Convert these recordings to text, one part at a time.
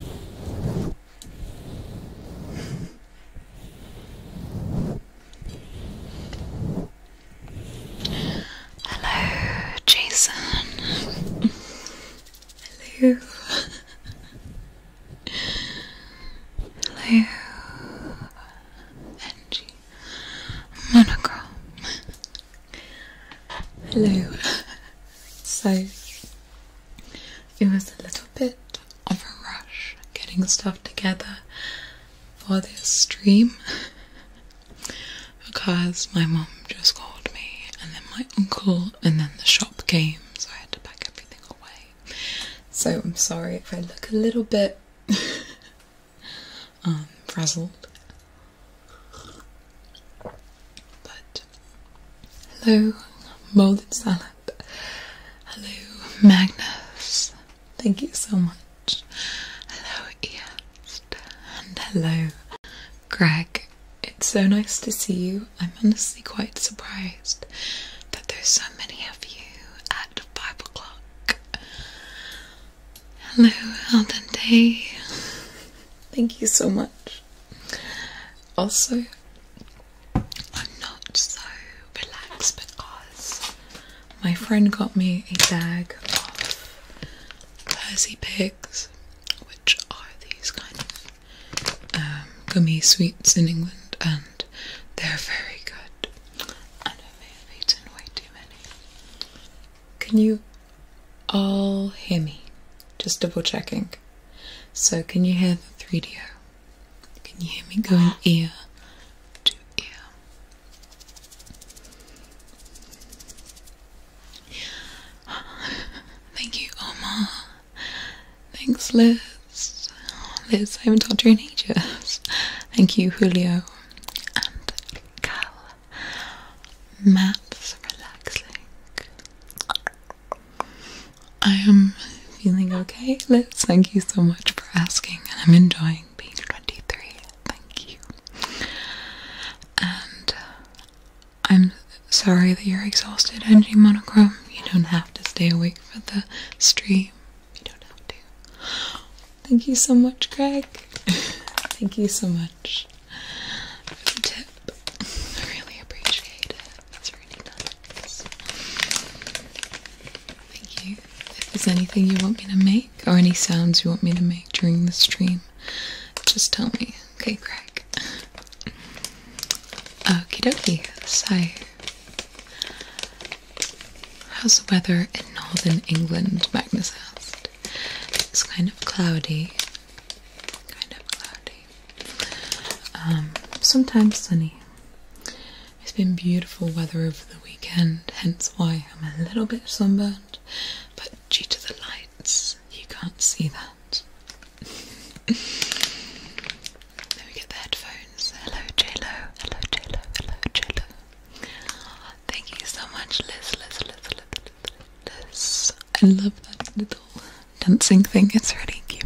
Hello, Jason. Hello. Hello, Angie. Monochrome. Hello. So it was a little bit of a rush getting stuff together for this stream because my mom just called me and then my uncle and then the shop came so I had to pack everything away. So I'm sorry if I look a little bit um, frazzled. But hello, molded salad. Hello, Magnus. Thank you so much. Hello, East. And hello, Greg. It's so nice to see you. I'm honestly quite surprised that there's so many of you at 5 o'clock. Hello, Al Dente. Thank you so much. Also, I'm not so relaxed because my mm. friend got me a bag of Percy Pigs, which are these kind of um, gummy sweets in England, and they're very good. And I may have eaten way too many. Can you all hear me? Just double checking. So, can you hear the 3 d Can you hear me going uh-huh. ear to ear? Thank you, Omar. Thanks, Liz. Liz, I haven't talked to you in ages. Thank you, Julio and Cal. Matt's relaxing. I am feeling okay, Let's Thank you so much for asking, and I'm enjoying being 23. Thank you. And uh, I'm sorry that you're exhausted, Angie Monochrome. You don't have to stay awake for the stream. You don't have to. Thank you so much, Greg. Thank you so much tip. really appreciate it. That's really nice. Thank you. If there's anything you want me to make or any sounds you want me to make during the stream, just tell me. Okay, Craig. Okie dokey So, how's the weather in northern England? Magnus asked. It's kind of cloudy. Kind of cloudy. Um, sometimes sunny. It's been beautiful weather over the weekend, hence why I'm a little bit sunburned, but due to the lights, you can't see that. then we get the headphones. Hello, JLo. Hello, JLo. Hello, JLo. Thank you so much, Liz, Liz, Liz, Liz. I love that little dancing thing. It's really cute.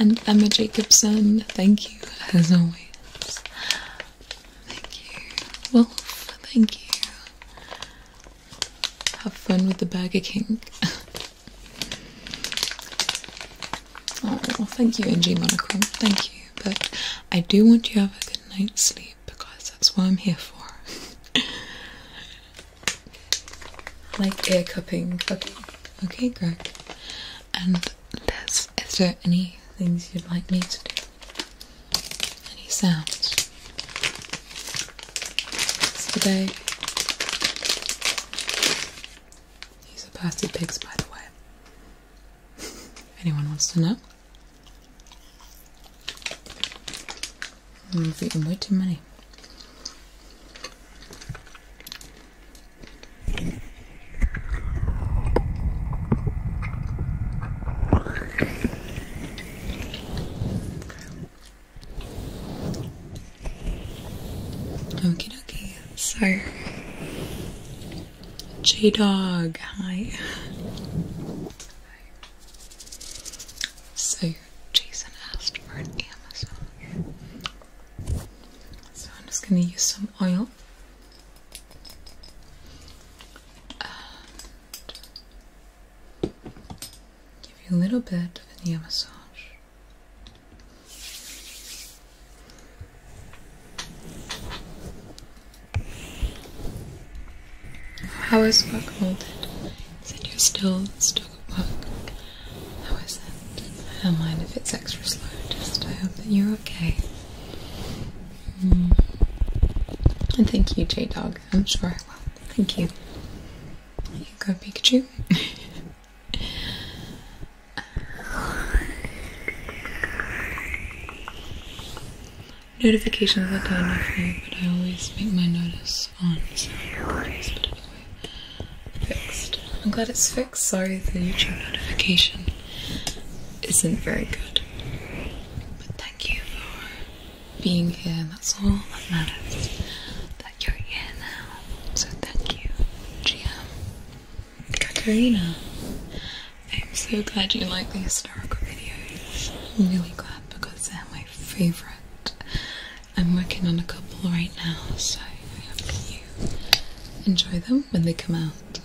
And Emma Jacobson, thank you as always. Thank you. Wolf, thank you. Have fun with the Burger King. oh, well, thank you, NG Monochrome. Thank you. But I do want you to have a good night's sleep because that's what I'm here for. like ear cupping. Okay, okay, Greg. And Liz, is there any things you'd like me to do? Any sounds? Today. These are pasty pigs, by the way. If anyone wants to know. I've eaten way too many. Okay, okay. So J Dog, hi. So Jason asked for an Amazon. So I'm just gonna use some oil. give you a little bit of an massage. How is work molded? Is it you're still stuck at work? How is that? I don't mind if it's extra slow, just I hope that you're okay. Hmm. And thank you, J Dog. I'm sure I will. Thank you. You go, Pikachu. notifications that go on your phone, but I always make my notice on soundboards, but anyway, fixed. I'm glad it's fixed. Sorry the YouTube notification isn't very good. But thank you for being here. That's all that matters. That you're here now. So thank you, GM. Kakarina. I'm so glad you like the historical videos. really glad because they're my favourite. I'm working on a couple right now, so I hope you enjoy them when they come out.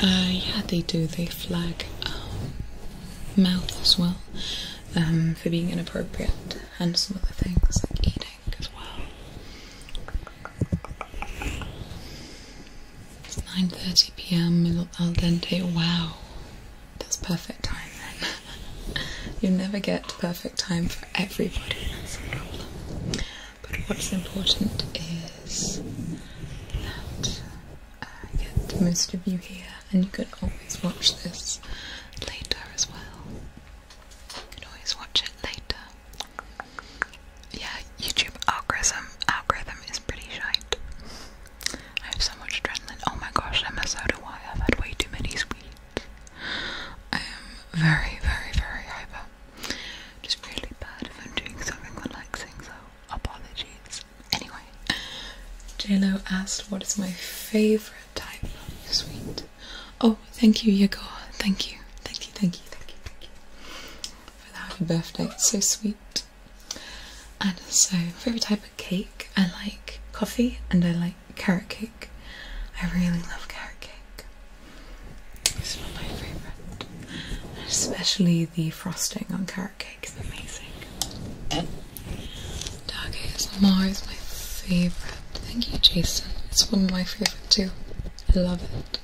uh, yeah, they do. They flag um, mouth as well um, for being inappropriate and some other things like eating as well. It's 9.30 pm, al dente, wow. That's perfect time then. you never get perfect time for everybody, But what's important is that I uh, get most of you here and you can always watch this later as well always watch it later. Yeah, YouTube algorithm algorithm is pretty shite. I have so much adrenaline. Oh my gosh, I'm a soda why I've had way too many sweets. I am very, very, very hyper. Just really bad if I'm doing something relaxing, so apologies. Anyway, JLo asked what is my favourite type of sweet. Oh, thank you, Yegor. Thank you, thank you, thank you, thank you, thank you for the happy birthday. It's so sweet. And so, favorite type of cake. I like coffee and I like carrot cake. I really love carrot cake. It's not my favorite, especially the frosting on carrot cake is amazing. And ASMR is my favorite. Thank you, Jason. It's one of my favorite too. I love it.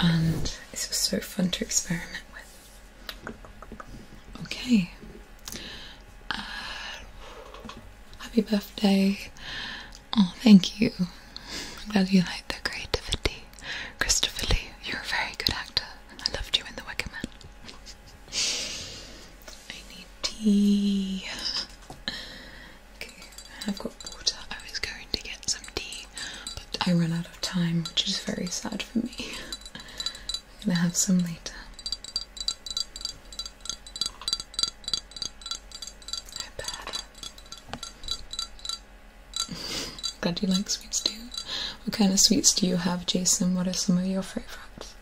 and it's was so fun to experiment with. Okay. Uh, happy birthday. Oh, thank you. I'm glad you like the creativity. Christopher Lee, you're a very good actor. I loved you in The Wicker Man. I need tea. Okay, I've got water. I was going to get some tea, but I ran out of time, which is very sad for me. I'm gonna have some later. I bet. Glad you like sweets too. What kind of sweets do you have, Jason? What are some of your favourites?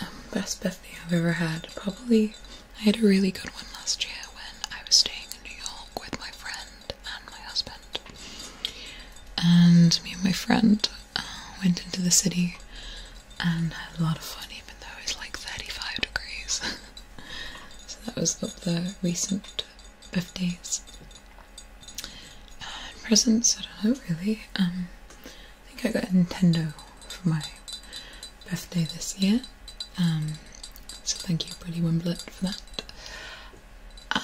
Um, best birthday I've ever had. Probably, I had a really good one last year when I was staying in New York with my friend and my husband. And me and my friend uh, went into the city and had a lot of fun, even though it was like 35 degrees. so that was up there recent 50s. presents, I don't know really. Um, I think I got a Nintendo for my birthday this year. Um, so thank you, Buddy Wimblett, for that.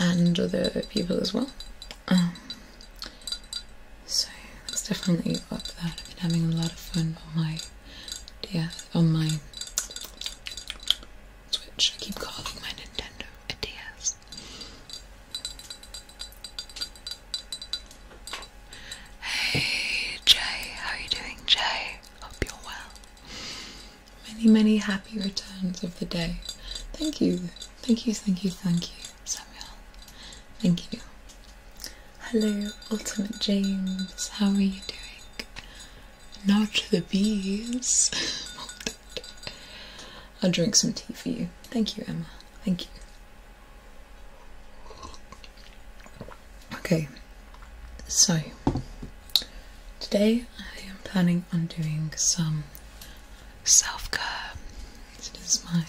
And other people as well. Um, so that's definitely up there. I've been having a lot of fun on my yeah, on my Switch. I keep calling my Nintendo a DS. Hey Jay, how are you doing, Jay? Hope you're well. Many, many happy returns of the day. Thank you, thank you, thank you, thank you, Samuel. Thank you. Hello, Ultimate James, how are you doing? Not the bees. I'll drink some tea for you. Thank you, Emma. Thank you. Okay, so today I am planning on doing some self care. It is my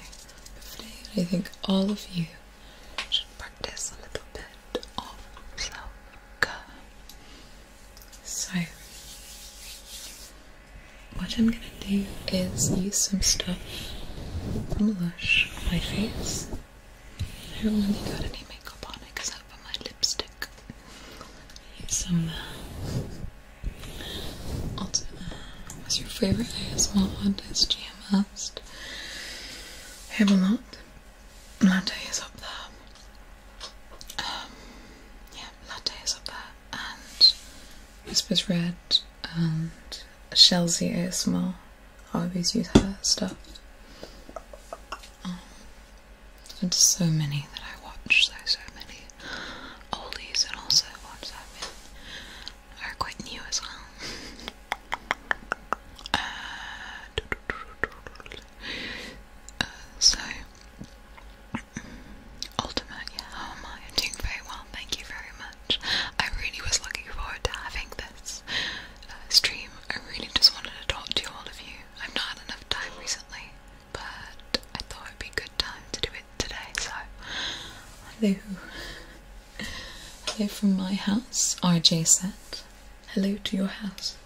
birthday, I think all of you should practice a little bit of self care. So, what I'm gonna do is use some stuff from Lush on my face. I haven't really got any makeup on it because I put my lipstick. Use some. Uh, also, uh, what's your favorite ASMR artist? GM asked. Hamelot. Latte is up there. Um, yeah, latte is up there and Whispers Red and Shelzy ASMR. I always use her stuff. Um, so many that I watch, so so many oldies and also ones I mean, are quite new as well. Uh, uh, so Ultimate, yeah, how am I? doing very well, thank you very much. I really was looking forward to having this uh, stream. I really just wanted to talk to all of you. I've not had enough time recently, but I thought it'd be a good time to do it today, so. Hello. Hello from my house, RJ said. Hello to your house.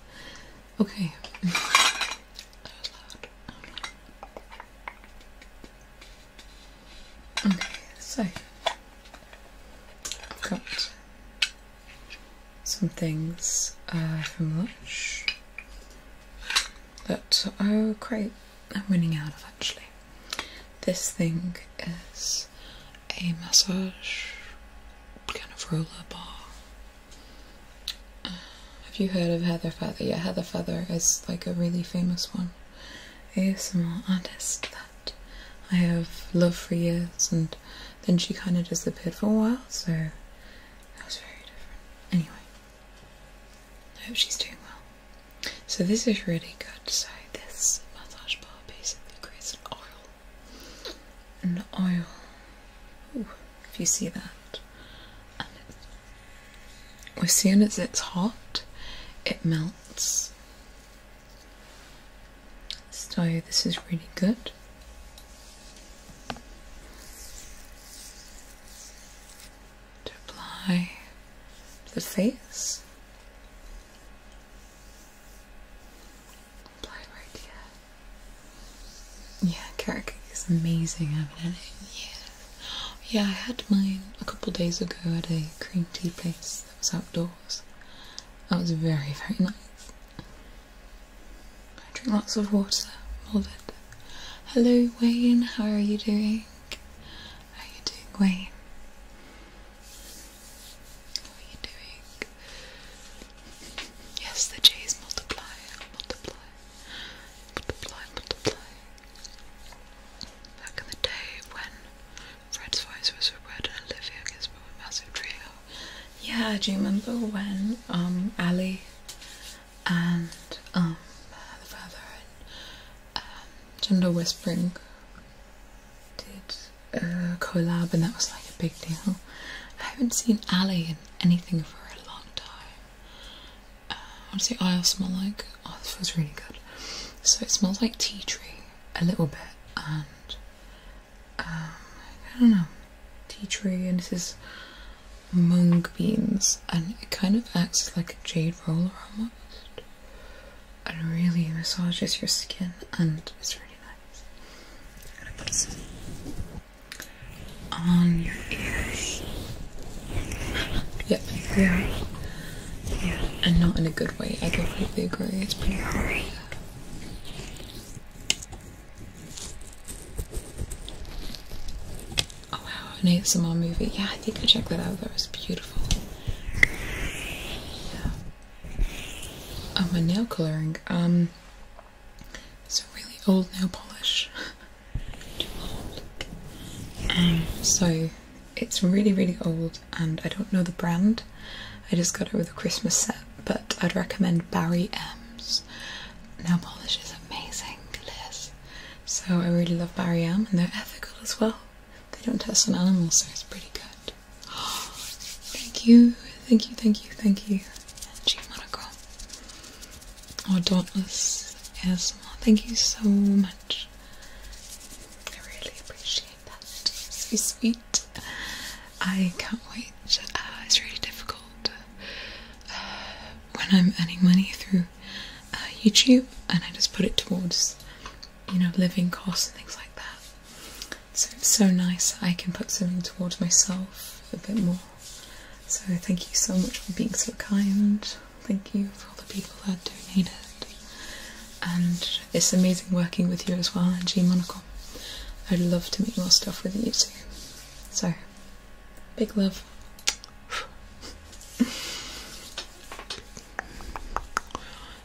Okay. Okay, so I've got some things uh, from lunch that oh great, I'm running out of actually. This thing is a massage kind of roller bar have you heard of Heather Feather? Yeah, Heather Feather is like a really famous one. ASMR artist that I have loved for years, and then she kind of disappeared for a while, so that was very different. Anyway, I hope she's doing well. So, this is really good. So, this massage bar basically creates an oil. An oil. if you see that. And it's as soon as it's hot, it melts. So, this is really good. To apply to the face, apply right here. Yeah, carrot is amazing. I haven't had it in yeah, I had mine a couple days ago at a cream tea place that was outdoors. That was very, very nice. I drink lots of water, all that. Hello, Wayne, how are you doing? How are you doing, Wayne? How are you doing? Yes, the J's multiply, multiply, multiply, multiply. Back in the day when Fred's voice was Red and Olivia Gisbert were a massive trio. Yeah, do you remember when um Ali and um the father and um, Gender Whispering did a collab and that was like a big deal. I haven't seen Ali in anything for a long time. Uh, what does the aisle smell like? Oh, this feels really good. So it smells like tea tree a little bit, and um, I don't know, tea tree, and this is mung beans, and it kind of acts like a jade roller almost, and really massages your skin, and it's really nice on your ears. Yeah, yeah, and not in a good way. I completely agree. It's pretty hard. Oh wow, an ASMR movie. Yeah, I think I checked that out. That was beautiful. Yeah. Oh, my nail coloring. Um, it's a really old nail polish. Um, so it's really, really old, and I don't know the brand. I just got it with a Christmas set, but I'd recommend Barry M's. Nail polish is amazing, Liz. So I really love Barry M's, and they're ethical as well. They don't test on animals, so it's pretty good. thank you, thank you, thank you, thank you, Angie Monaco or oh, Dauntless ASMR. Thank you so much. I really appreciate that. So sweet. I can't wait. Uh, it's really difficult uh, when I'm earning money through uh, YouTube and I just put it towards, you know, living costs and things like that. So it's so nice that I can put something towards myself a bit more. So thank you so much for being so kind. Thank you for all the people that donated. And it's amazing working with you as well, and G Monocle. I'd love to meet more stuff with you too. So, big love.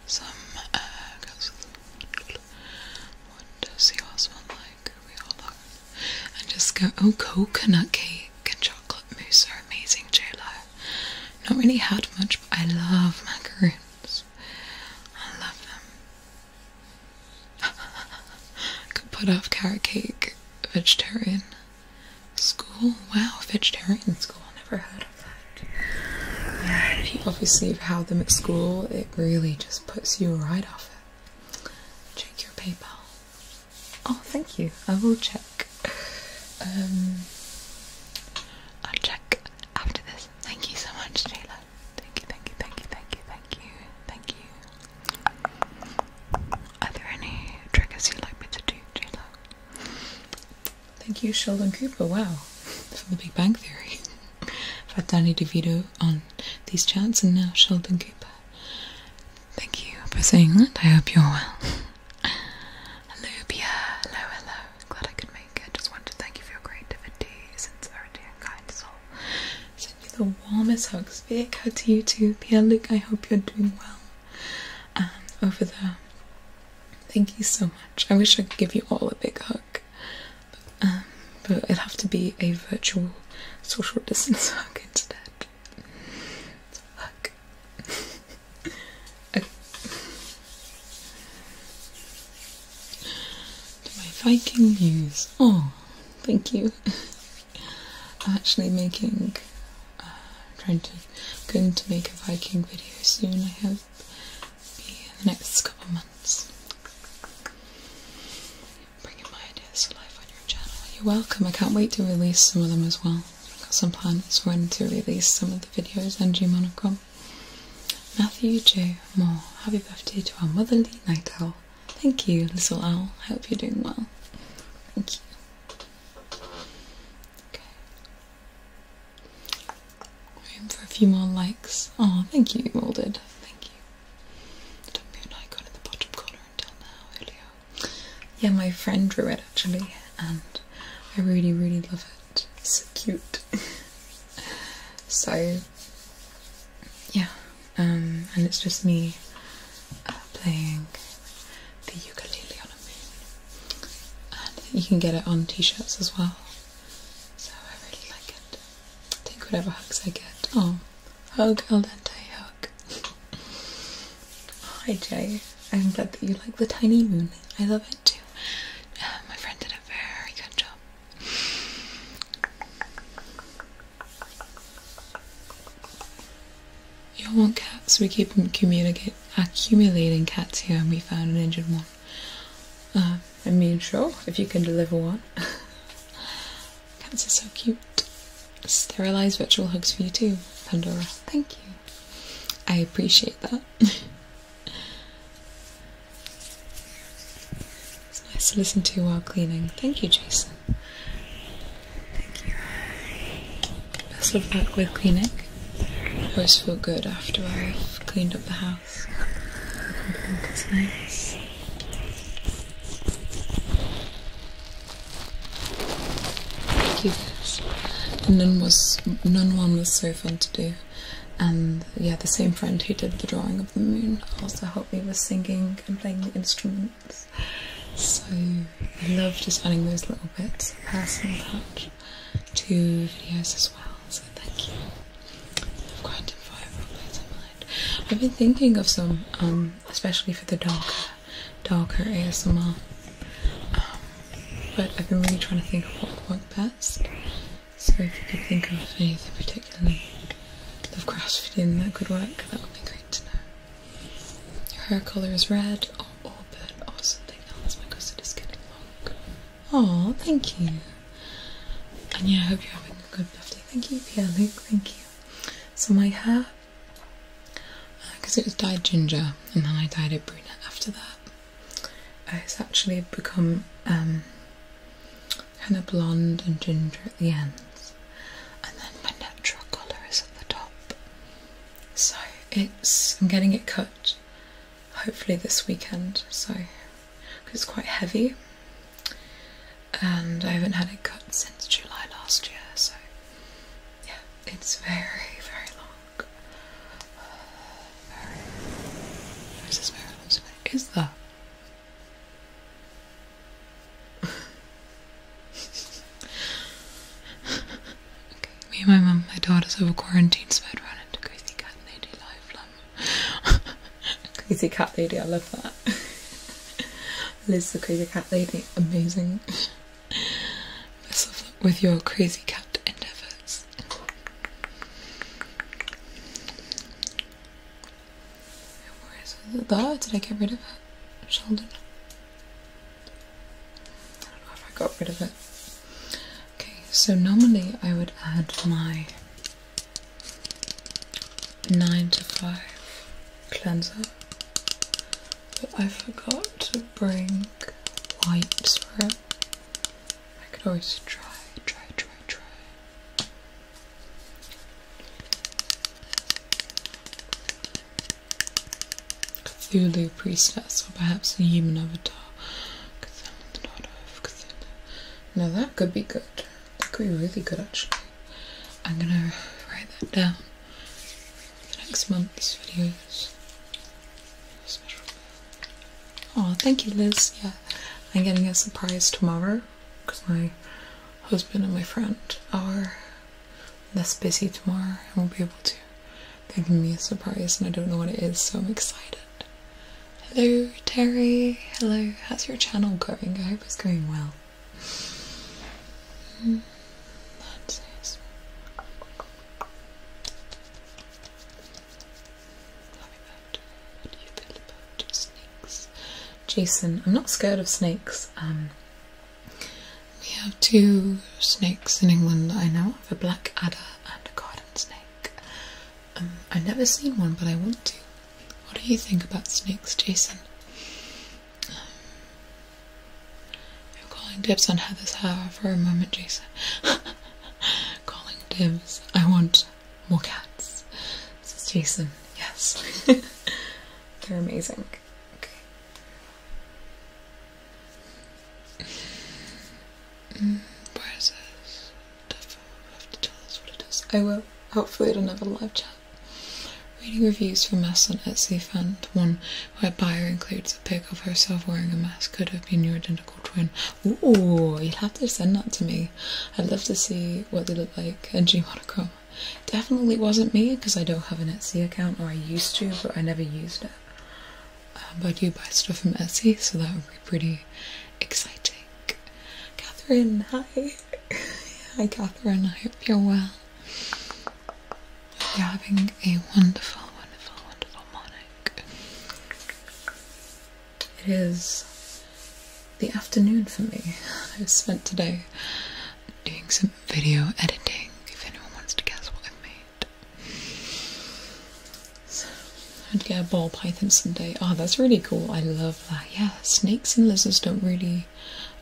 Some What does the all smell like? We all love. And just go. Oh, coconut cake cake and chocolate mousse are amazing, Jello? Not really had much, but I love macaroons. I love them. Could put off carrot cake, vegetarian school. Wow, vegetarian school. I never heard of that. Yeah, if you have had them at school, it really just puts you right off it. Check your PayPal. Oh, thank you. I will check. Um, I'll check after this. Thank you so much, Taylor. Thank you, thank you, thank you, thank you, thank you, thank you. Are there any triggers you'd like me to do, Taylor? Thank you, Sheldon Cooper. Wow, for The Big Bang Theory. I've had Danny DeVito on these chats, and now Sheldon Cooper. Thank you for saying that. I hope you're well. Lubia, hello, hello. Glad I could make it. Just want to thank you for your creativity, sincerity, and kind soul. Send you the warmest hugs. Vic, how to you too. Pierre Luke, I hope you're doing well. over there. Thank you so much. I wish I could give you all a big hug. Um, but, it will have to be a virtual social distance hug instead. hug. To my Viking news. Oh, thank you. I'm actually making, uh, trying to, going to make a Viking video soon. I hope, in the next couple months. Bringing my ideas to life on your channel. You're welcome. I can't wait to release some of them as well. Got some plans when to release some of the videos on Gmonocle. Matthew J. Moore, happy birthday to our motherly night owl. Thank you, little owl. I hope you're doing well. Thank you. Okay. Room for a few more likes. Oh, thank you, all did. Thank you. Don't be icon in the bottom corner yeah, my friend drew it actually, and I really, really love it. It's so cute. so, yeah, um, and it's just me uh, playing the ukulele on a moon. you can get it on t-shirts as well. So I really like it. Take whatever hugs I get. Oh, hug, oh, al dente, hug. Hi Jay, I'm glad that you like the tiny moon. I love it too. Uh, my friend did a very good job. You all want cats? We keep accumulate, accumulating cats here and we found an injured one. Uh, I mean, sure, if you can deliver one. cats are so cute. Sterilized virtual hugs for you too, Pandora. Thank you. I appreciate that. it's nice to listen to while cleaning. Thank you, Jason. Best of luck with cleaning. I always feel good after I've cleaned up the house. it's nice cute. None was none one was so fun to do, and yeah, the same friend who did the drawing of the moon also helped me with singing and playing the instruments. So I love just adding those little bits, of personal touch, videos as well. So thank you. I've got a fire mind. I've been thinking of some, um, especially for the dog. Darker hair ASMR. Um, but I've been really trying to think of what would work best. So if you could think of anything particularly of crash that could work, that would be great to know. Your hair colour is red or auburn or something else because it is getting long. Oh, thank you. And yeah, I hope you're having a good birthday. Thank you, Pierre Luke, thank you. So my hair because uh, it was dyed ginger and then I dyed it brunette after that. Uh, it's actually become um, kind of blonde and ginger at the ends and then my natural colour is at the top. So it's, I'm getting it cut hopefully this weekend so because it's quite heavy and I haven't had it cut since July last year so yeah, it's very, very long. Very. this mirror? Where's this Is that? me and my mum, my daughters have quarantine, so I'd run into Crazy Cat Lady live, lum. crazy Cat Lady, I love that. Liz the Crazy Cat Lady, amazing. Best of luck with your crazy cat endeavors. Where is That? Did I get rid of it? Sheldon. I don't know if I got rid of it. Okay, so normally I would add my 9 to 5 cleanser but I forgot to bring wipes for it. I could always try, try, try, try. Cthulhu priestess, or perhaps a human avatar. Now that could be good. That could be really good actually. I'm gonna write that down for next month's videos. Oh, thank you, Liz. Yeah, I'm getting a surprise tomorrow because my husband and my friend are less busy tomorrow and we will be able to. They're giving me a surprise and I don't know what it is, so I'm excited. Hello, Terry. Hello. How's your channel going? I hope it's going well. Hmm. Jason, I'm not scared of snakes. Um, we have two snakes in England that I know of, a black adder and a garden snake. Um, I've never seen one, but I want to. What do you think about snakes, Jason? Um, you're calling dibs on Heather's hair for a moment, Jason. calling dibs. I want more cats. This is Jason. Yes. They're amazing. Okay. Mm, where is this? Definitely have to tell us what it is. I will. Hopefully at another live chat. Reading reviews for Mass on Etsy found one my buyer includes a pic of herself wearing a mask. Could have been your identical twin. Ooh, you'd have to send that to me. I'd love to see what they look like in G monochrome. Definitely wasn't me because I don't have an Etsy account, or I used to, but I never used it. Um, but I do buy stuff from Etsy, so that would be pretty exciting. Catherine, hi. hi, Catherine. I hope you're well. You're having a wonderful, wonderful, wonderful morning. It is the afternoon for me. I've spent today doing some video editing, if anyone wants to guess what I've made. I'd get a ball python someday. Oh, ah, that's really cool. I love that. Yeah, snakes and lizards don't really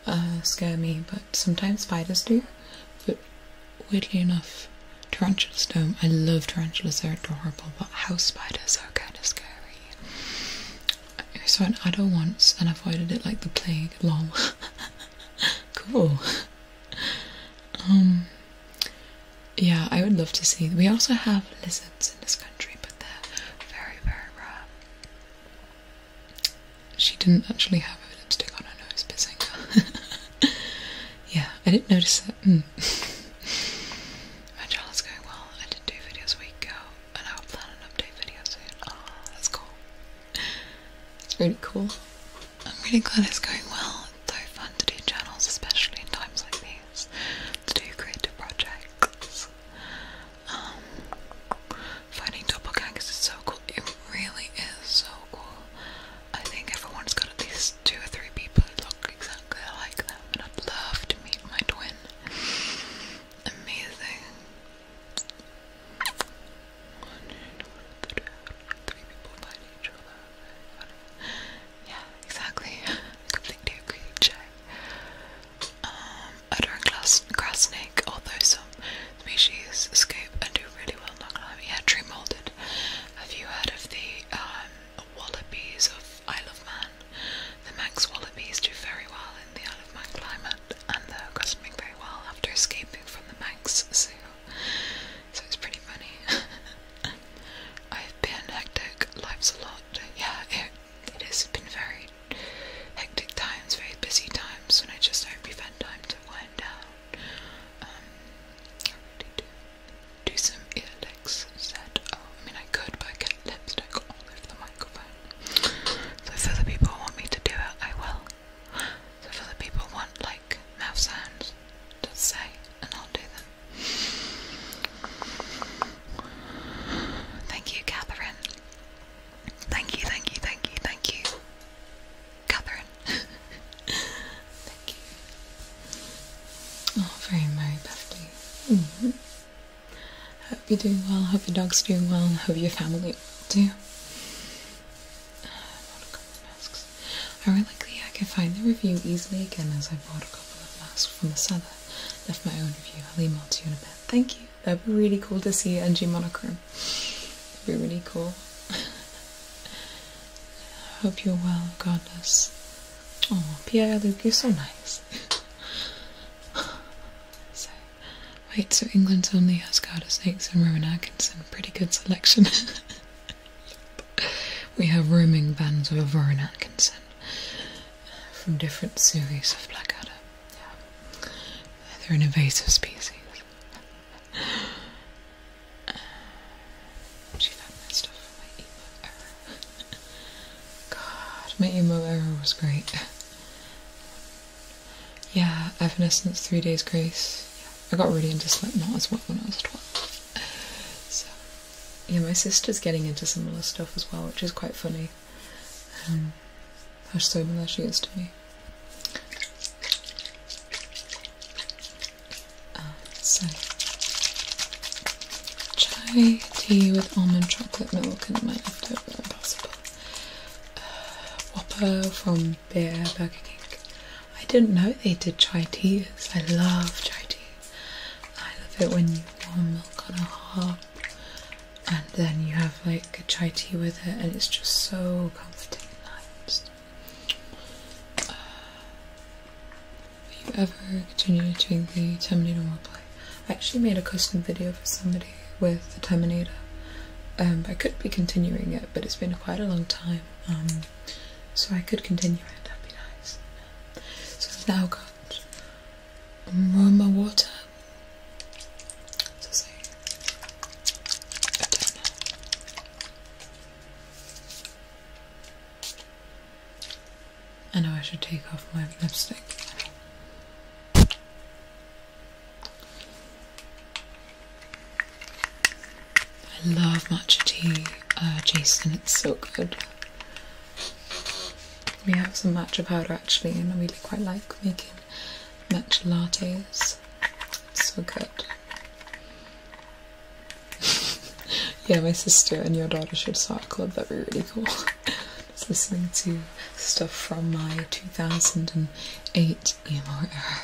uh, scare me, but sometimes spiders do, but weirdly enough, tarantulas don't. I love tarantulas, they're adorable, but house spiders are kind of scary. I saw an adder once and avoided it like the plague. Lol. cool. Um, yeah, I would love to see. We also have lizards in this country, but they're very, very rare. She didn't actually have lipstick on her nose, pissing. Yeah, I didn't notice that. Hmm. My trial is going well. I did two videos a week ago, and I will plan an update video soon. Oh, that's cool. That's really cool. I'm really glad it's going well. It's so fun to do channels, especially in times like these, to do creative projects. Um, finding doppelgangers is so cool. It really is so cool. I think everyone's got at least two or three people who look exactly like them, and I'd love to meet my twin. Amazing. One, two, three, three people find each other. Yeah, exactly. Completely agree, um, don't class grass snake, although some species escape and do really yeah, tree molded. Have you heard of the um, wallabies of Isle of Man? The Manx wallabies do very well in the Isle of Man climate and they're costuming very well after escaping from the Manx zoo. So it's pretty funny. I've been hectic, life's a lot. Yeah, it, has been very hectic times, very busy times, When I just hope you find time to wind down um, do. some ear licks Oh, I mean, I could, but I can't. get lipstick all over the microphone. So for the people who want me to do it, I will. So for the people who want like mouth sounds, just say, and I'll do them. Thank you, Catherine. Thank you, thank you, thank you, thank you, Catherine. Thank you. Oh, very merry birthday. Mm Hope you're doing well. Hope your dog's doing well. Hope your family well too. Uh, watercolor masks. I really like I can find the review easily again as I bought a couple of masks from the seller. Left my own review. I'll email to you in a bit. Thank you. That'd be really cool to see NG monochrome. It'd be really cool. I hope you're well, regardless. Oh, Pierre Luke, you're so nice. so, wait, so England's only has Garter Snakes and Rowan Atkinson. Pretty good selection. we have roaming bands with Rowan Atkinson uh, from different series of Blackadder. They're an invasive species. she got that stuff from my emo error. God, my emo error was great. Yeah, Evanescence, Three Days Grace. I got really into Slipknot as well when I was 12. So, yeah, my sister's getting into similar stuff as well, which is quite funny. Um, how similar she is to me. Uh, chai tea with almond chocolate milk and my leftover impossible. Uh, Whopper from Beer Burger King. I didn't know they did chai teas. I love chai tea. I love it when you warm milk on a hob and then you have like a chai tea with it and it's just so comforting and nice. Uh, you ever continue to doing the Terminator roleplay, I actually made a custom video for somebody with the Terminator. Um, I could be continuing it, but it's been quite a long time, um, so I could continue it. That'd be nice. So I've now got Roma water. So say a donut. I know I should take off my lipstick. I love matcha tea, uh, Jason, it's so good. We have some matcha powder actually, and I really quite like making matcha lattes. It's so good. yeah, my sister and your daughter should start a club. That'd be really cool. Just listening to stuff from my 2008 EMR era.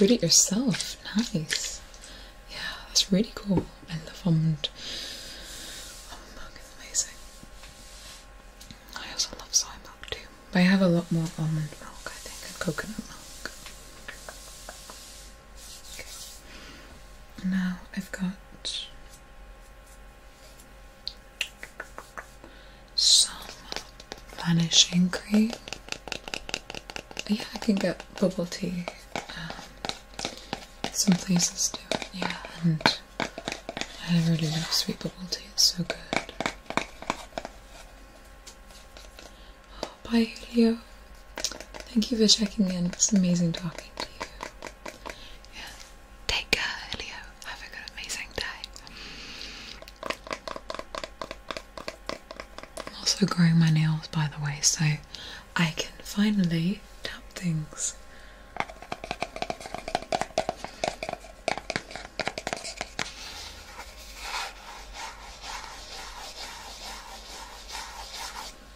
Read it yourself. Nice. Yeah, that's really cool eller almond milk is amazing. I also love soy milk too. But I have a lot more almond milk, I think, and coconut milk. Okay. Now I've got some vanishing cream. Yeah, I can get bubble tea um, some places do yeah, and I really love sweet bubble tea, it's so good. Oh, bye, Julio. Thank you for checking in. It's amazing talking to you. Yeah. Take care, Julio. Have a good, amazing day. I'm also growing my nails, by the way, so I can finally tap things.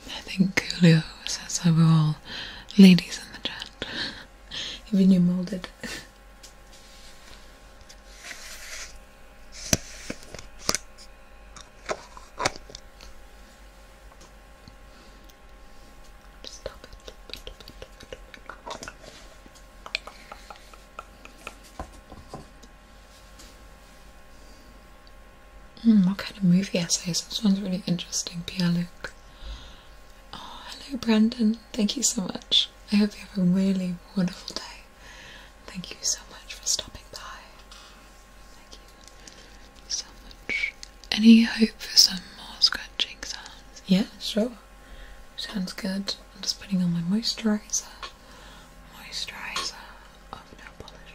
I think Julio says that we're all ladies in the chat. Even you molded. Hmm, what kind of movie essays? This one's really interesting, Pierre Luc. Oh, hello, Brandon. Thank you so much. I hope you have a really wonderful day. Thank you so much for stopping by. Thank you so much. Any hope for some more scratching sounds? Yeah, sure. Sounds good. I'm just putting on my moisturizer. Moisturizer of oh, no polish.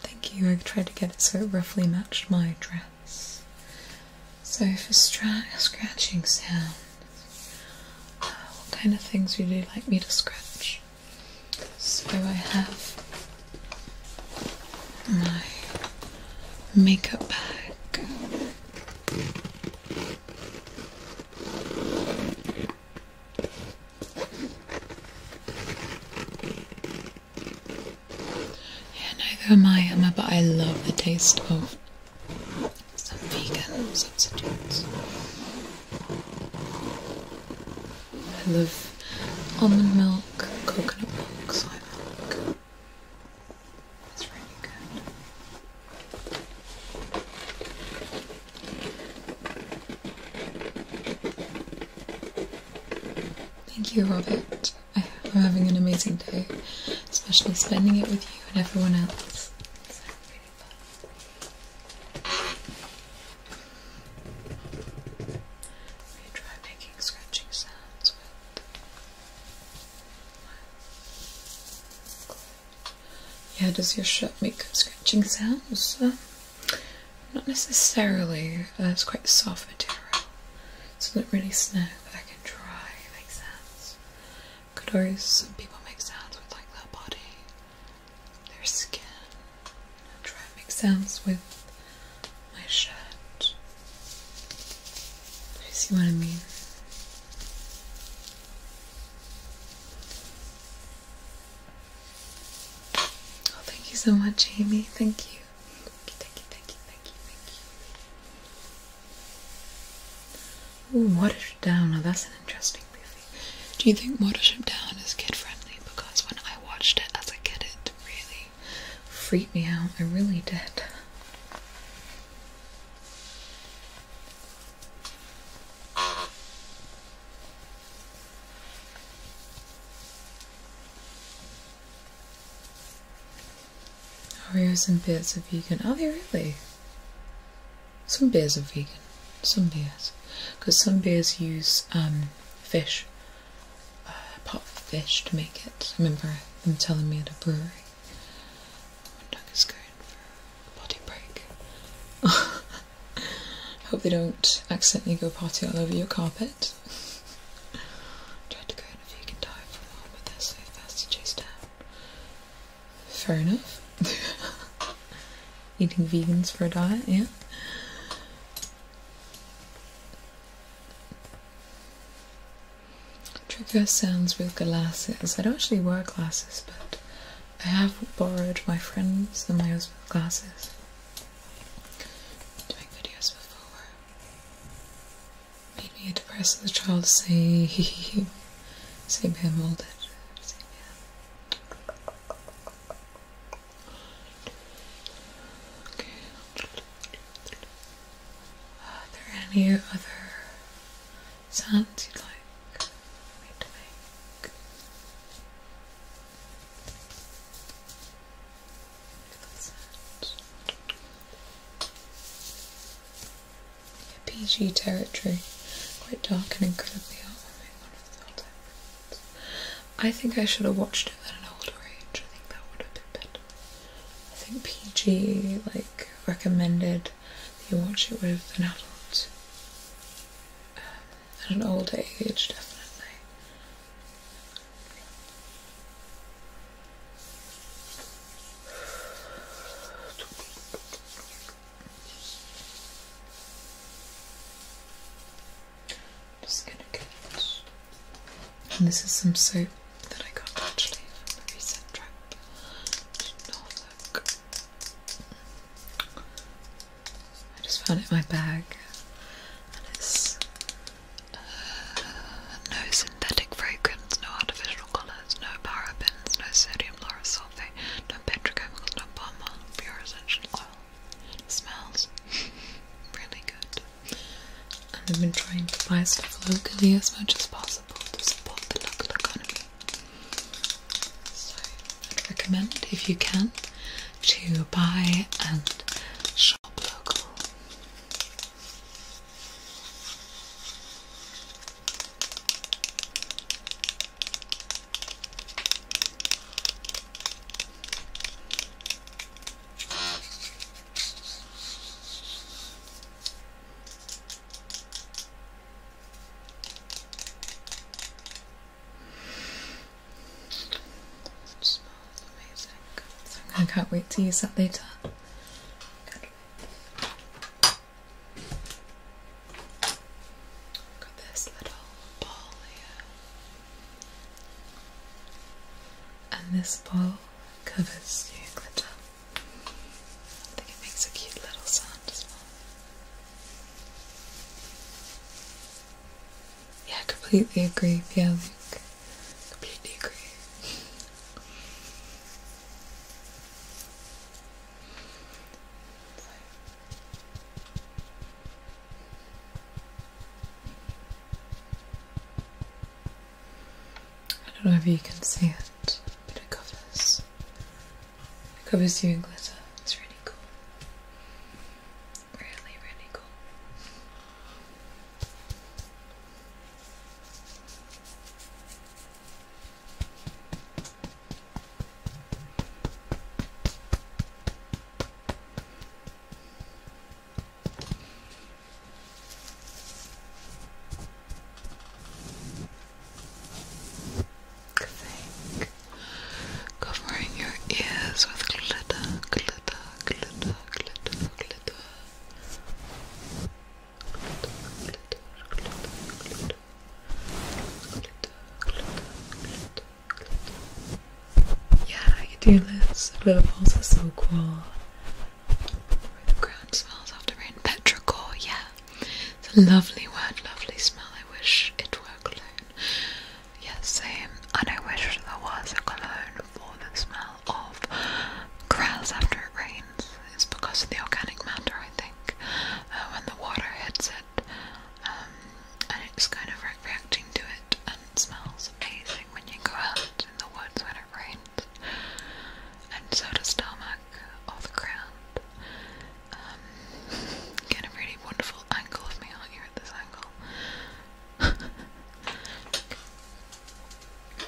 Thank you. I tried to get it so it roughly matched my dress. So for scratching sounds, uh, what kind of things would you like me to scratch? So I have my makeup bag. Yeah, neither am I, Emma, but I love the taste of some vegan substitutes. I love almond milk, coconut milk, soy milk. It's really good. Thank you, Robert. I am having an amazing day, especially spending it with you and everyone else. We try making scratching sounds Yeah, does your shirt make scratching sounds? Uh, not necessarily. Uh, it's quite soft material. It's not really snug, but I can try. It makes sense. Could always some people make sounds with like their body, their skin, I'll try to make sense with my shirt. You see what I mean? Oh, thank you so much, Amy. Thank you. Thank you, thank you, thank you, thank you. Ooh, Watership Down. Oh, that's an interesting movie. Do you think Watership Down is kid friendly? Because when I watched it as a kid, it really they freaked me out. I really did. Oreos and beers are vegan. Are oh, they really? Some beers are vegan. Some beers. Because some beers use um, fish uh, pot fish to make it. I remember them telling me at the brewery. My dog is going for a potty break. hope they don't accidentally go potty all over your carpet. Tried to go in a vegan diet for a while, but they're so fast to chase down. Fair enough. Eating vegans for a diet, yeah. Trigger sounds with glasses. I don't actually wear glasses, but I have borrowed my friends and my husband's glasses to make videos before. Made me a depressed child to say, say being molded. Are there any other sounds you'd like PG territory, quite dark and incredibly heartwarming. I think I should have watched it at an older age. I think that would have been better. I think PG like recommended you watch it with an adult um, at an older age, definitely this is some soap that I got actually from the recent trip. I just found it in my bag, and it's uh, no synthetic fragrance, no artificial colours, no parabens, no sodium sulfate, no petrochemicals, no palm oil, pure essential oil. smells really good and I've been trying to buy stuff locally as much as possible to support the local economy. So I'd recommend if you can to buy and shop local. I can't wait to use that later. Got this little ball here. And this ball covers your glitter. I think it makes a cute little sound as well. Yeah, I completely agree, yeah, Luke. Completely agree. I don't know if you can see it, but it covers covers you in glitter. It's really cool. Really, really cool. Think. Covering your ears with glitter, glitter, glitter, glitter, glitter. Glitter, glitter, glitter, glitter, glitter, glitter, Yeah, you do this. Blue balls are so cool. The ground smells after rain. Petrichor, yeah. It's a lovely word, lovely smell. I wish it were cologne. Yes, same. And I wish there was a cologne for the smell of grass after it rains. It's because of the organic matter, I think, uh, when the water hits it. Um, and it's kind of reacting to it and smells amazing when you go out in the woods when it rains. And so does tarmac or the ground. Um, get a really wonderful angle of me, aren't at this angle?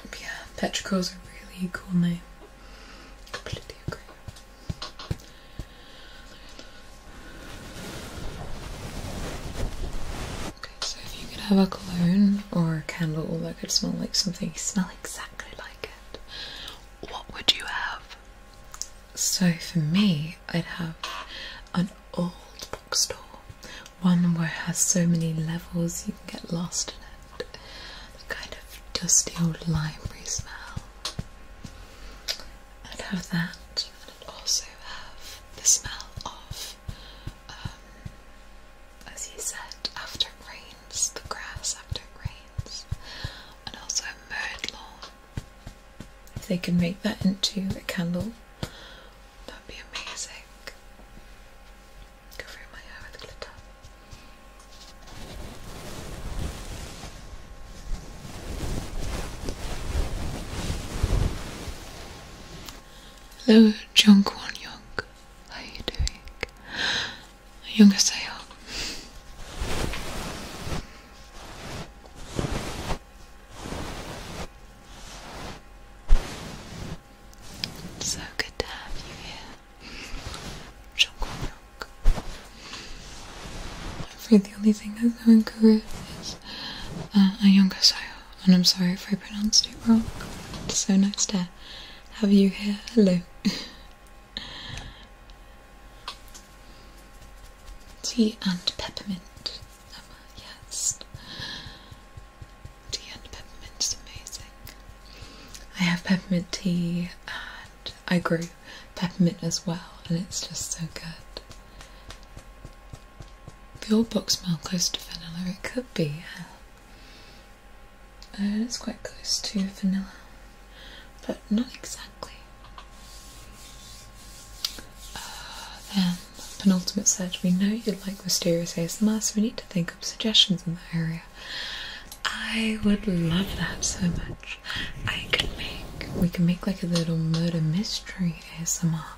yeah, Petrichor's a really cool name. Completely agree so if you could have a cologne or a candle that could smell like something, smell exactly like it, what would you have? So for me, I'd have an old bookstore, one where it has so many levels you can get lost in it. The kind of dusty old library smell. I'd have that, and I'd also have the smell of um, as he said, after it rains, the grass after it rains, and also a If they can make that into a candle, that'd be amazing. Go my hair with glitter. Hello, Jung Kwon Young. How are you doing? Young as I am. So good to have you here. Jung Kwon I'm afraid the only thing that's going career is uh, a younger am and I'm sorry if I pronounced it wrong. so nice to have you here. Hello. Tea and peppermint. Emma, yes. Tea and peppermint is amazing. I have peppermint tea and I grew peppermint as well, and it's just so good. The old box smell close to vanilla. It could be. Uh, uh, it's quite close to vanilla, but not exactly. then, uh, um, penultimate search. We know you like mysterious ASMR, so we need to think of suggestions in that area. I would love that so much. I could make. We can make like a little murder mystery ASMR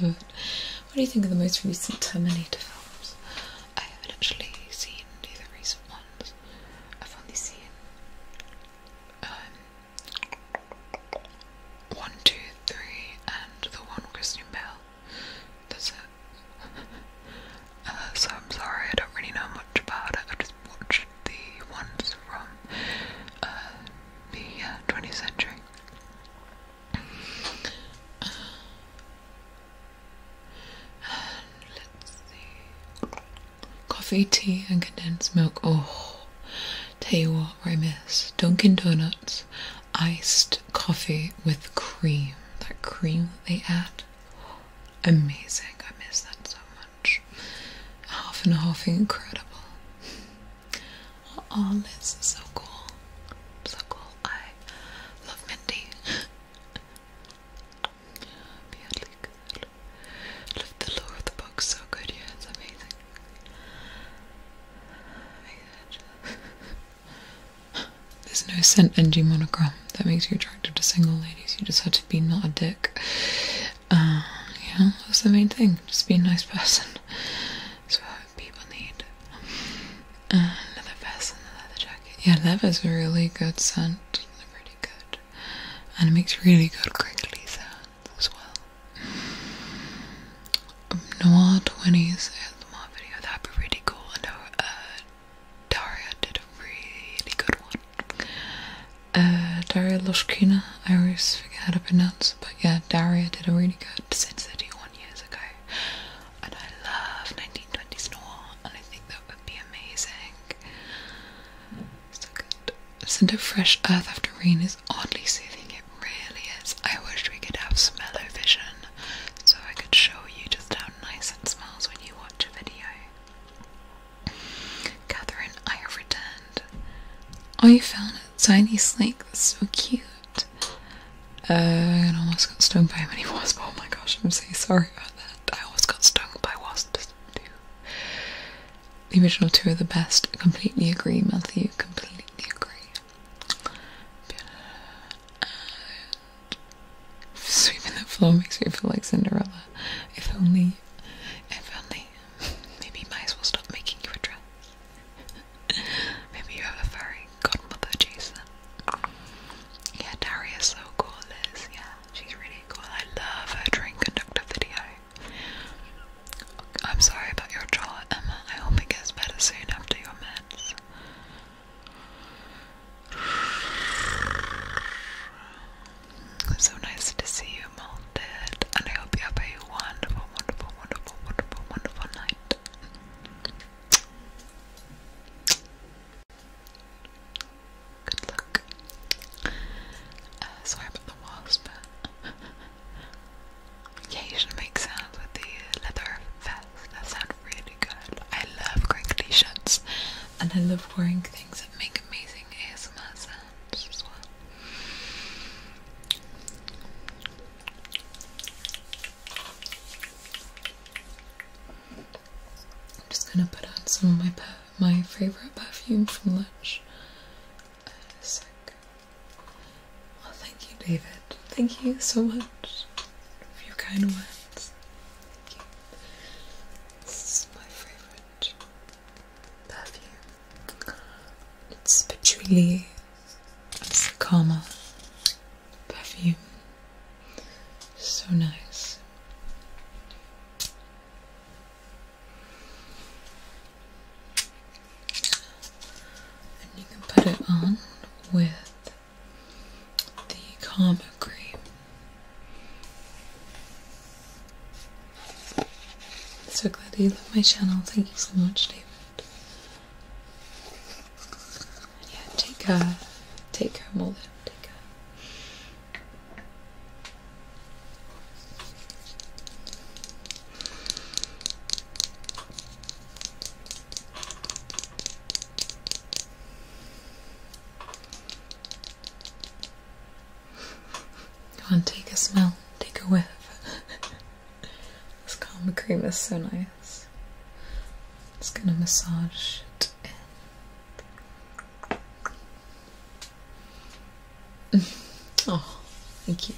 Love it. What do you think of the most recent Terminator films? I haven't actually seen either recent ones. I've only seen um, one, two, three, and the one with Christian Bell. That's it. Uh, so I'm sorry, I don't really know much about it. I've just watched the ones from uh, the 20th uh, century. Coffee, tea, and condensed milk. Oh, tell I miss Dunkin' Donuts iced coffee with cream. That cream that they add. Amazing. I miss that so much. Half and half incredible. Oh, Liz is so cool. So cool. I love Mindy. Badly Love the lore of the book so good, yeah, it's amazing. There's no scent NG Monogram. that makes you attractive to single ladies. You just have to be not a dick. Um, yeah, that's the main thing. Just be a nice person. So people need. Uh, leather vest and a jacket. Yeah, leather's a really good scent. pretty good. And it makes really good crinkly sounds as well. Um, 20s at the video. That'd be really cool. I know uh, Daria did a really good one. Uh, Daria Lushkina. I always forget how to pronounce but yeah, Daria did a really good Sin City one years ago, and I love 1920s noir, and I think that would be amazing. So good. Scent of fresh earth after rain is oddly soothing. It really is. I wish we could have smell-o-vision, so I could show you just how nice it smells when you watch a video. Catherine, I have returned. Are you found Tiny snake, that's so cute. Uh, I almost got stung by a wasp. Oh my gosh, I'm so sorry about that. I almost got stung by wasps The original two are the best. Completely agree, Matthew. Completely agree. sweeping the floor makes me feel like Cinderella. If only, if only. Maybe you might as well stop making you a dress. Maybe you have a fairy godmother, Jason. Yeah, Daria's so cool, Liz. Yeah, she's really cool. I love her train conductor video. I'm sorry about your jaw, Emma. I hope it gets better soon after your meds. so nice to see you, Malted, and I hope you have a wonderful, wonderful, wonderful, wonderful, wonderful night. Good luck. Uh, sorry the wasp. Occasion makes sounds with the leather vest. That sounds really good. I love crinkly shirts, and I love wearing things that make amazing ASMR sounds I'm just gonna put on some of my my favorite perfume from lunch. Uh, oh, thank you, David. Thank you so much for your kind words. This is my favorite perfume. It's patchouli it's the Karma perfume. So nice. And you can put it on with the Karma cream. So glad you love my channel. Thank you so much, Dave yeah, take her, take her more take her. Come on, take a smell, take a whiff. This Karma cream is so nice. i just gonna massage it in. oh, thank you.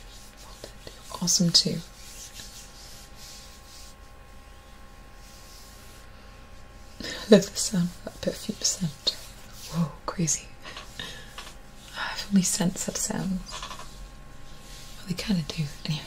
awesome too. I love the sound of that perfume scent. Whoa, crazy. I've only sensed that sound. We kind of do, anyway.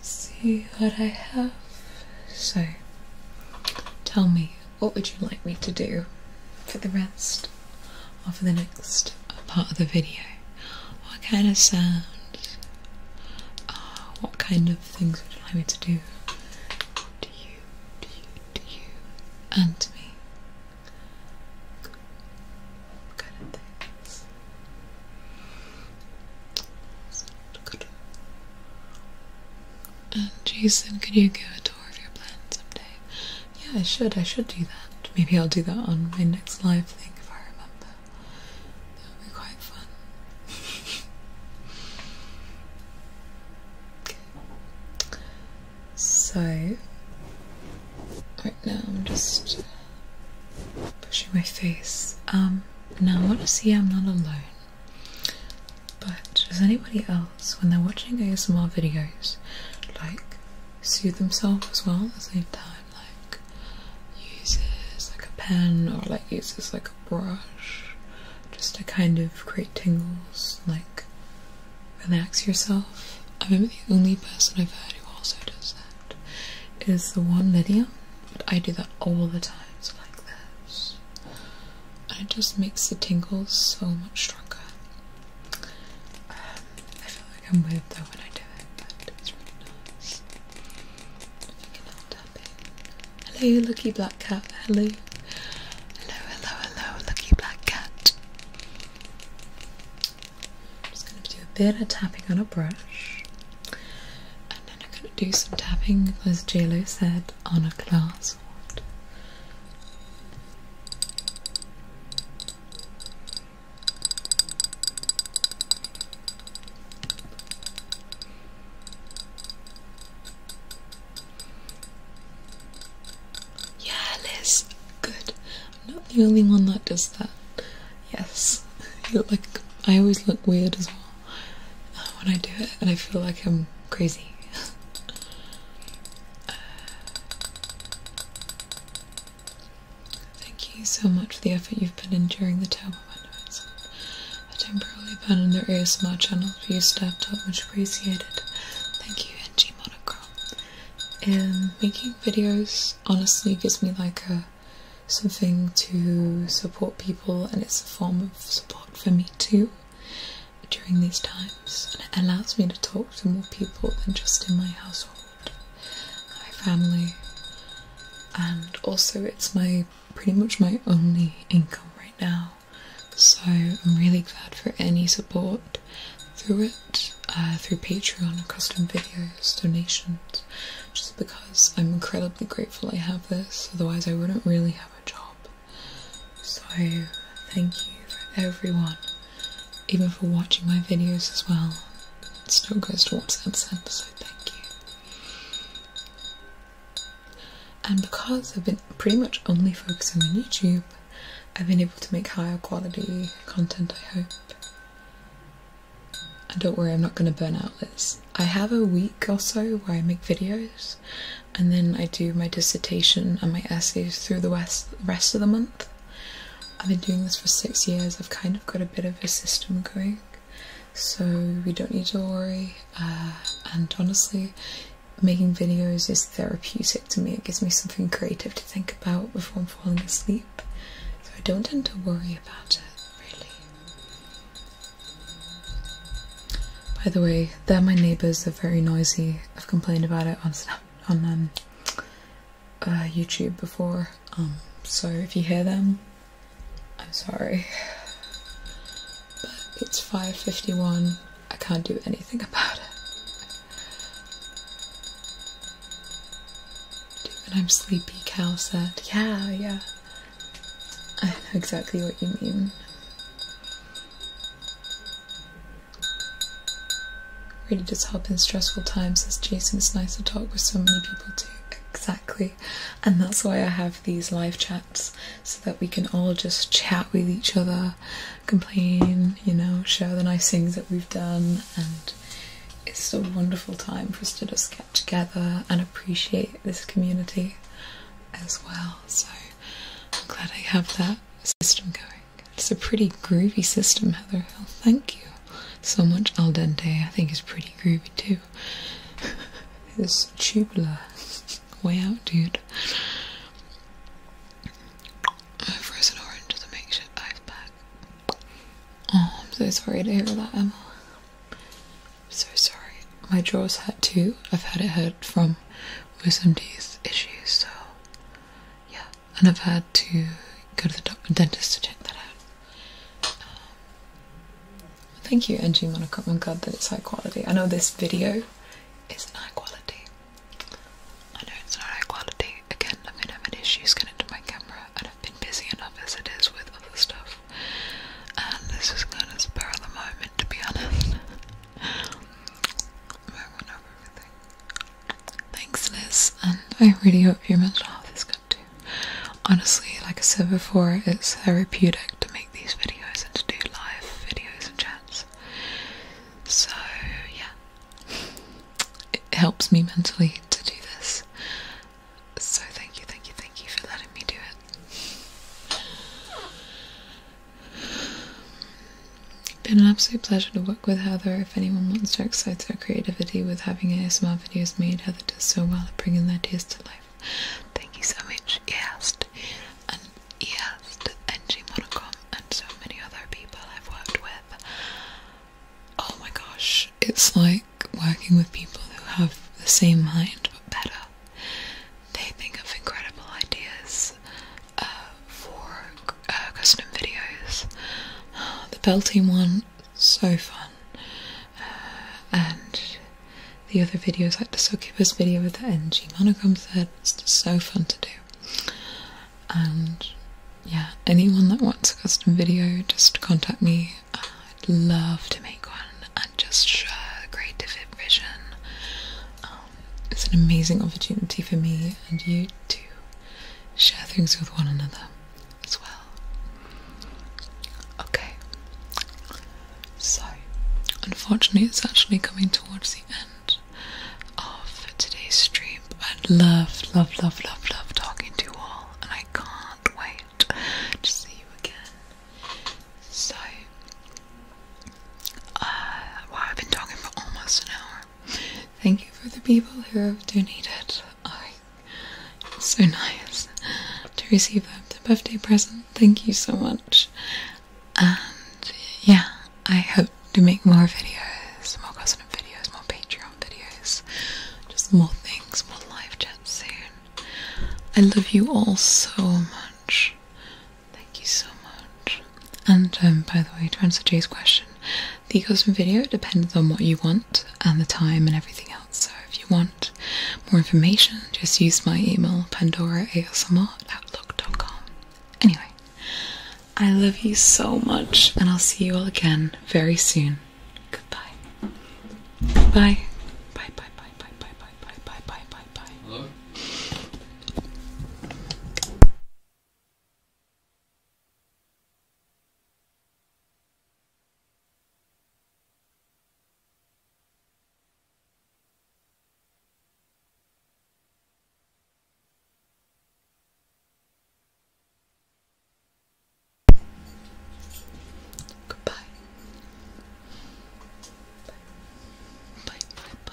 see what I have. Say, tell me what would you like me to do for the rest of the next part of the video? What kind of sound? Uh, what kind of things would you like me to do? Do you, do you, do you, and to me? What kind of things? And Jason, can you give go at of your plan someday. Yeah, I should. I should do that. Maybe I'll do that on my next live thing if I remember. That would be quite fun. so, right now I'm just pushing my face. Um, now I want to see I'm not alone. But does anybody else, when they're watching ASMR videos, like soothe themselves as well at the same time? Like uses like a pen or like uses like a brush just to kind of create tingles, like relax yourself. I remember the only person I've heard who also does that is the one Lydia, but I do that all the time, like this. And it just makes the tingles so much stronger. I feel like I'm weird though when I do it, but it's really nice. If you Hello, lucky black cat. Hello. Hello, hello, hello, lucky black cat. I'm just going to do a bit of tapping on a brush. And then I'm going to do some tapping, as JLo said, on a glass soft. Yeah, Liz, good. I'm not the only one that does that. Yes, you look I always look weird as well uh, when I do it, and I feel like I'm crazy. Thank you so much for the effort you've put in during the term of Windows. I temporarily abandoned the ASMR channel, but you stepped up, much appreciated. Thank you, NG Monochrome. Um, making videos honestly gives me like a something to support people, and it's a form of support for me too during these times, and it allows me to talk to more people than just in my household, my family, and also it's my pretty much my only income right now. So I'm really glad for any support through it, uh, through Patreon, custom videos, donations, just because I'm incredibly grateful I have this. Otherwise, I wouldn't really have a job. So thank you for everyone, even for watching my videos as well. It still goes towards WhatsApp Center, so thank you. And because I've been pretty much only focusing on YouTube, I've been able to make higher quality content, I hope. And don't worry, I'm not going to burn out this. I have a week or so where I make videos, and then I do my dissertation and my essays through the West rest of the month. I've been doing this for six years, I've kind of got a bit of a system going, so we don't need to worry. Uh, and honestly, making videos is therapeutic to me, it gives me something creative to think about before I'm falling asleep, so I don't tend to worry about it really. By the way, they're my neighbours, they're very noisy, I've complained about it on Snapchat on um, uh, YouTube before, um, so if you hear them, I'm sorry. But it's 5.51, I can't do anything about it. I'm sleepy, Cal said. Yeah, yeah. I know exactly what you mean. Really just help in stressful times as Jason it's nice to talk with so many people too. Exactly. And that's why I have these live chats so that we can all just chat with each other, complain, you know, share the nice things that we've done and it's a wonderful time for us to just get together and appreciate this community as well. So I'm glad I have that system going. It's a pretty groovy system, Heather Hill. Thank you so much. Al dente, I think, is pretty groovy too. it's tubular. Way out, dude. I froze an orange to make sure ice pack. Oh, I'm so sorry to hear that, Emma. I'm so sorry. My jaws hurt too. I've had it hurt from wisdom teeth issues, so yeah, and I've had to go to the doctor, dentist to check that out. Um, thank you, NG Monocut. i God glad that it's high quality. I know this video isn't high quality. I know it's not high quality. Again, I'm gonna have an issue to my camera, and I've been busy enough as it is with other stuff. And this is going to spur the moment, to be honest. Thanks, Liz, and I really hope your mental health is good too. Honestly, like I said before, it's therapeutic to make these videos and to do live videos and chats. So, yeah. It helps me mentally to do this. So, thank you, thank you, thank you for letting me do it. Been an absolute pleasure to work with Heather. If anyone wants to excite their creativity with having ASMR videos made, Heather does so well at bringing their ideas to life. Thank you so much, East and East and G and so many other people I've worked with. Oh my gosh, it's like working with people who have the same mind but better. They think of incredible ideas for uh, custom videos. Uh, the belting one, so fun. Uh, and the other videos, like the succubus video with the NG monochrome thread, it's just so fun to do. And yeah, anyone that wants a custom video, just contact me. I'd love to make one and just share creative vision. Um, it's an amazing opportunity for me and you to share things with one another as well. Okay, so unfortunately, it's actually coming towards the end of today's stream. i love, love, love, love, love talking to you all, and I can't wait to see you again. So, uh, well, I've been talking for almost an hour. Thank you for the people who have donated. I so nice to receive that the birthday present. Thank you so much. And yeah, I hope to make more videos, more custom videos, more Patreon videos, just more things, more live chats soon. I love you all so much. Thank you so much. And um, by the way, to answer Jay's question, the custom video depends on what you want and the time and everything else. So if you want more information, just use my email at pandoraasmr@outlook.com. Anyway, I love you so much, and I'll see you all again very soon. Goodbye. Bye. Bye. Bye. Bye. Bye. Bye. Bye. Bye. Bye. Bye. Bye. Hello. Goodbye. Bye, bye, bye,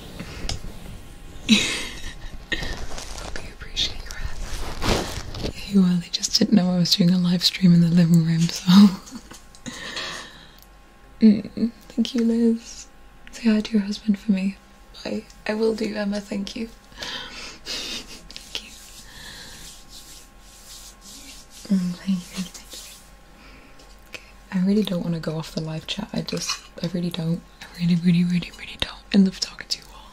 Hope you appreciate well, they just didn't know I was doing a live stream in the living room, so. Mm, thank you, Liz. Say hi to your husband for me. Bye. I will do, Emma, thank you, thank you, mm, thank you. I really don't want to go off the live chat. I just, I really don't. I really, really, really, really don't. I love talking to you all.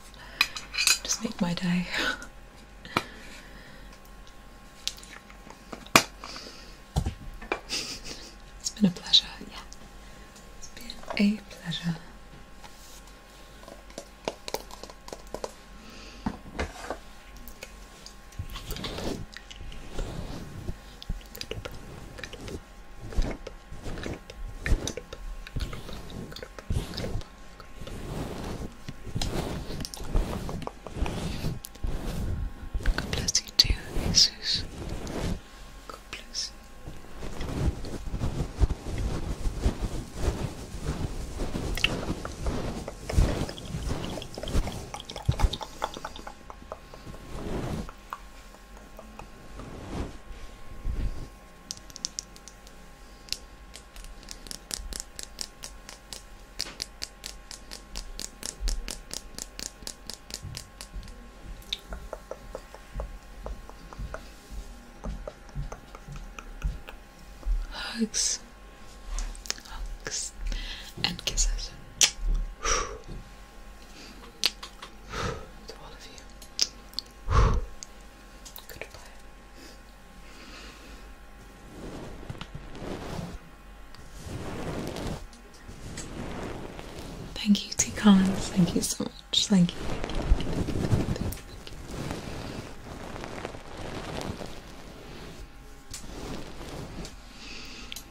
Just make my day. it's been a pleasure. Yeah. It's been a pleasure. God bless you Jesus. God bless you. Hugs, hugs, and kisses to all of you. Goodbye. Thank you, T. Collins. Thank you so much. Thank you. thank you.